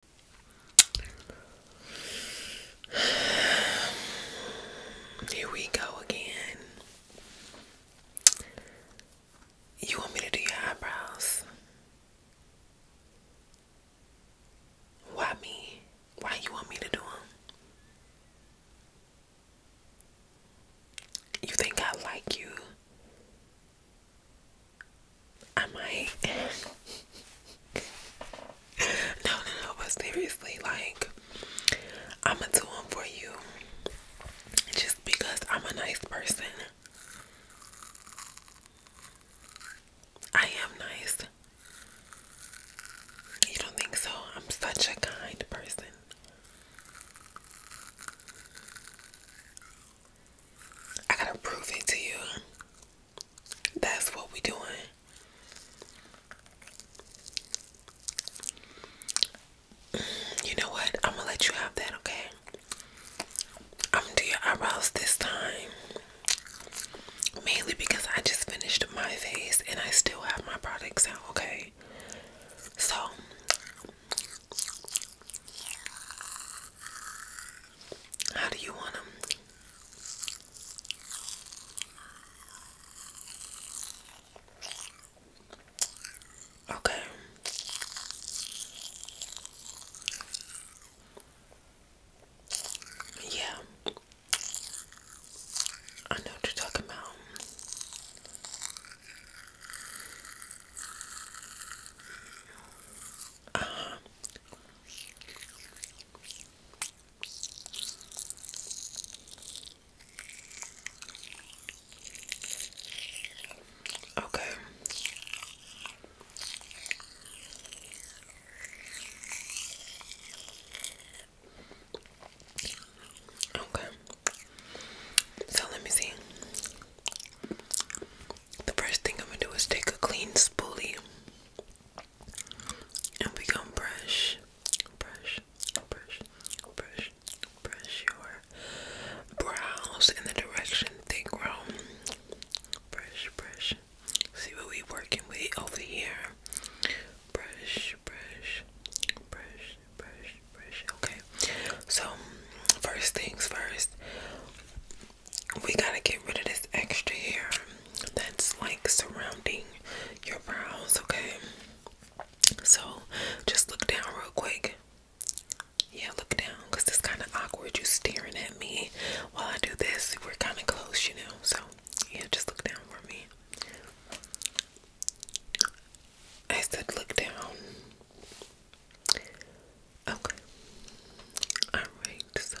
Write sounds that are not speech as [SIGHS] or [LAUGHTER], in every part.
[SIGHS] Here we go again. You want me to do your eyebrows? Why me? Why you want me to do them? You think I like you? I might. [LAUGHS] no, no, no, but seriously, like, I'ma do them for you just because I'm a nice person. I am nice. You don't think so? I'm such a kind person. I gotta prove it to you. That's what we doing. Mm, you know what? I'm gonna let you have that, okay? I'm gonna do your eyebrows this time. Mainly because I just finished my face and I still have my products out, okay? So how do you want them? Okay. Yeah. I know what you're talking about. Uh -huh. Okay. Okay. So let me see the first thing I'm gonna do is take a clean spoolie and we gonna brush, brush, brush, brush, brush your brows in the direction they grow. Brush, brush. See what we working with over here. Brush, brush, brush, brush, brush. Okay. So first things first we gotta get rid of this extra hair that's like surrounding your brows, okay? So just look down real quick. Yeah, look down because it's kind of awkward. You staring at me while I do this. We're kind of close, you know. So yeah, just look down for me. I said look down. Okay. Alright, so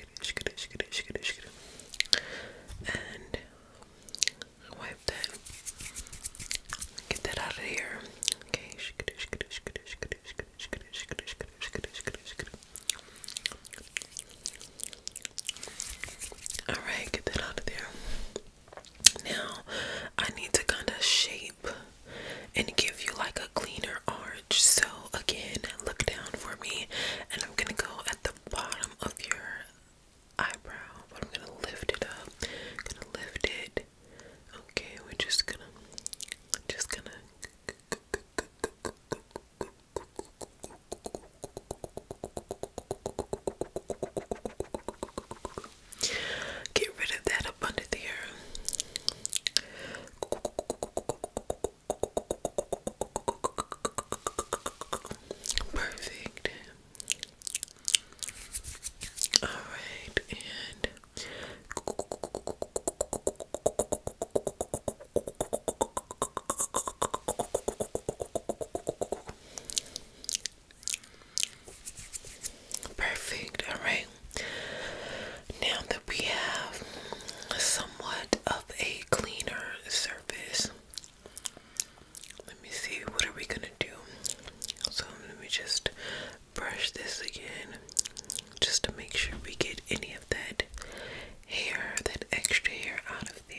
and wipe that. Get that out of here. Okay. All right, get that out of there. Now, I need to kind of shape and give you like a cleaner arch. So again, look down for me, and I'm gonna go at the bottom of your eyebrow, but I'm gonna lift it up. I'm gonna lift it. Okay, we're just gonna, just gonna. Get rid of that up under there. Perfect. All right, and perfect. All right. Now that we have somewhat of a cleaner surface, let me see what are we gonna do. So let me just brush this again, just to make sure we get any of that hair, that extra hair out of there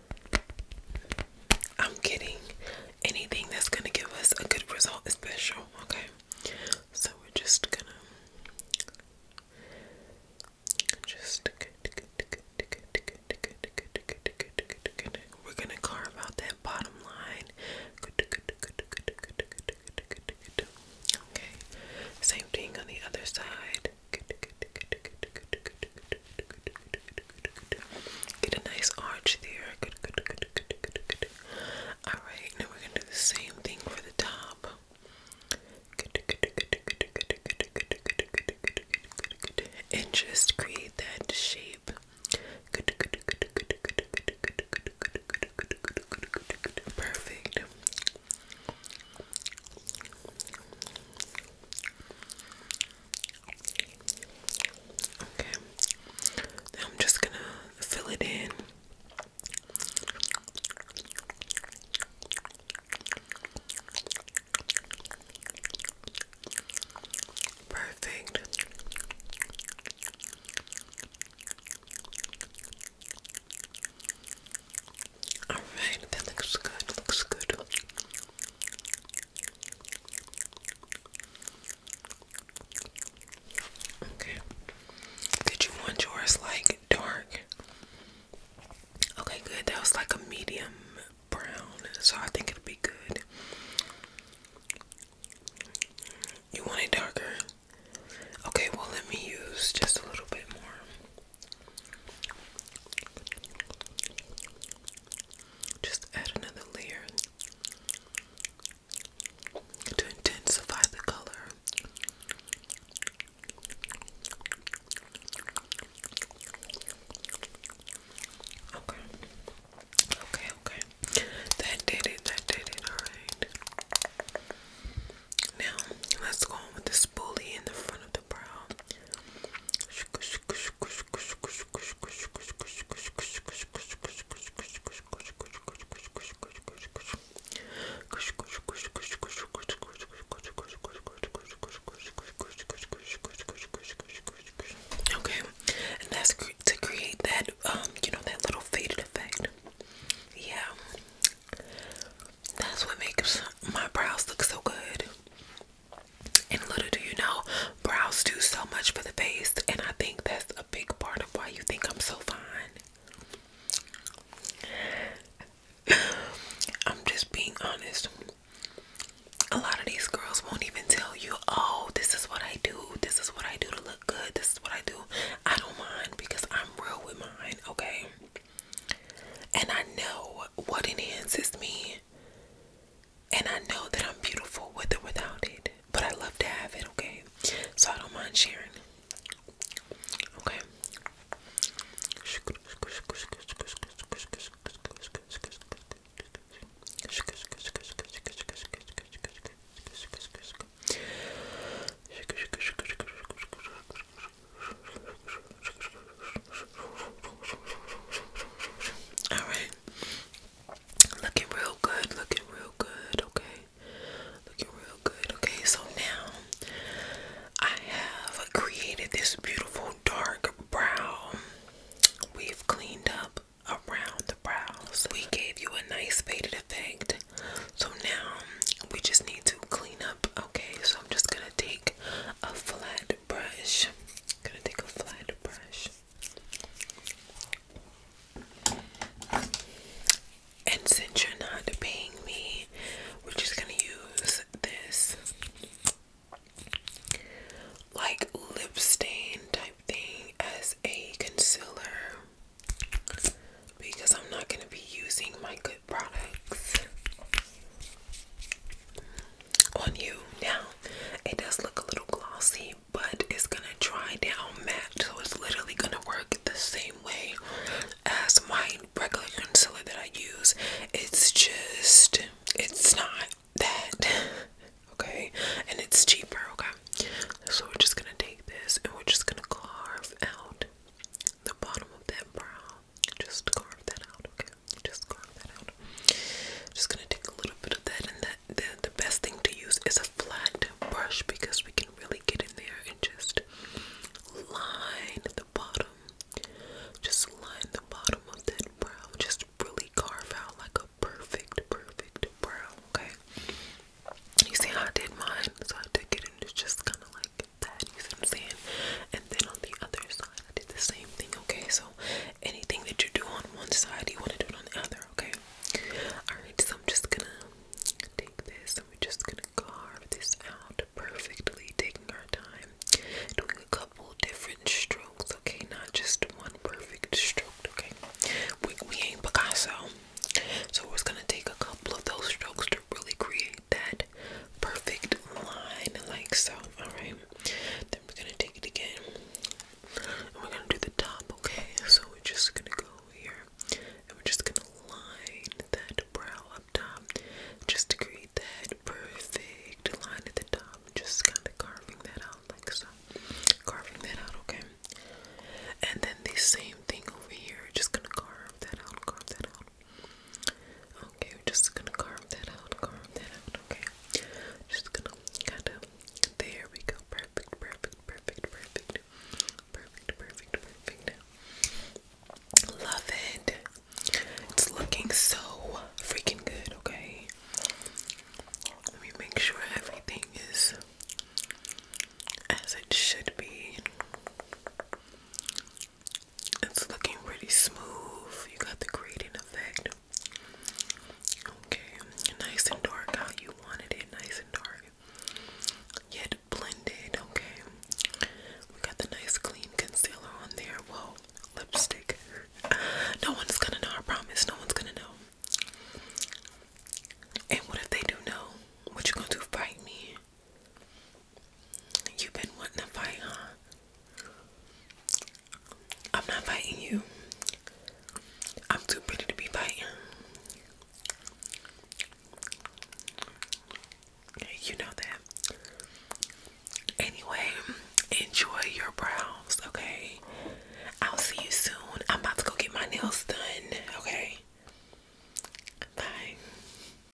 I'm kidding. Anything that's gonna give us a good result special, okay? So we're just gonna just we're gonna carve out that bottom line. Okay. Same thing on the other side. Get a nice arch there. All right, now we're gonna do the same thing for the top. And just create that shape. Perfect. Okay. I'm just gonna fill it in. Perfect. Alright, that looks good, looks good. Okay. Did you want yours like dark? Okay, good. That was like a medium brown, so I think it'll be good. You want it darker? Okay, well, let me use just a little bit more. Just add another layer to intensify the color. Okay. Okay, okay. That did it. That did it. All right. Now, let's go on with the spoolie in the front of the brow. Okay, and that's to create that um, you know, that little faded effect. Yeah, that's what makes my brows look so good. And little do you know, brows do so much for the face, and I think that's a big part of why you think I'm so fine. [SIGHS] I'm just being honest. A lot of these girls won't even tell you, oh, this is what I do, this is what I do to look good, this is what I do. I don't mind because I'm real with mine, okay? And I know what enhances me. And I know that I'm beautiful with or without it. But I love to have it, okay? So I don't mind sharing. Okay. All right. Looking real good. Looking real good. Okay. Looking real good. Okay. So now I have created this beautiful dark brow. We've cleaned up around the brows. We gave you a nice faded effect. So now we just need to clean up. Okay, so I'm just gonna take a flat brush. gonna take a flat brush and since you're not paying me we're just gonna use this like lip stain type thing as a concealer because I'm not gonna be using my good products on you. Now, it does look a little glossy, but it's gonna dry down matte, so it's literally gonna work the same way as my regular concealer that I use. It's just, it's not that, [LAUGHS] okay? And it's cheaper, okay? So we're just gonna take this and we're just gonna carve out the bottom of that brow just carve that out, okay? Just carve that out. Just gonna take a little bit of that, and that the, the best thing to use is a flat brush because we can really get in there and just line the bottom. Just line the bottom of that brow. Just really carve out like a perfect, perfect brow, okay? You see how I did mine? So I took it and it's just kind of like that, you see what I'm saying? And then on the other side, I did the same thing, okay? So anything that you do on one side, you want to do it on the other, okay? Alright, so I'm just gonna take this and we're just gonna carve this out perfectly, taking our time, doing a couple different strokes, okay? Not just one perfect stroke, okay? We, ain't Picasso. So we're just gonna take a couple of those strokes to really create that perfect line like so. Alright. Then we're gonna take it again. And we're gonna do the top, okay? So we're just gonna go here and we're just gonna line that brow up top just to create that perfect line at the top. Just kinda carving that out like so. Carving that out, okay? And then the same thing over here, just gonna carve that out, carve that out. Okay, we're just gonna carve that out, carve that out, okay? Just gonna kind of. There we go. Perfect, perfect, perfect, perfect. Perfect, perfect, perfect. Love it. It's looking so freaking good, okay? Let me make sure everything is as it should be. It's looking pretty smooth. You got the gradient effect. Okay, nice and dark how you wanted it, nice and dark. Yet blended, okay. We got the nice clean concealer on there. Whoa, lipstick. No one's gonna know, I promise. No one's gonna know. And what if they do know? What you gonna do? Fight me? You've been wanting to fight, huh? I'm not fighting you. I'm too pretty to be fighting. You know that. Anyway, enjoy your brows, okay? I'll see you soon. I'm about to go get my nails done, okay? Bye.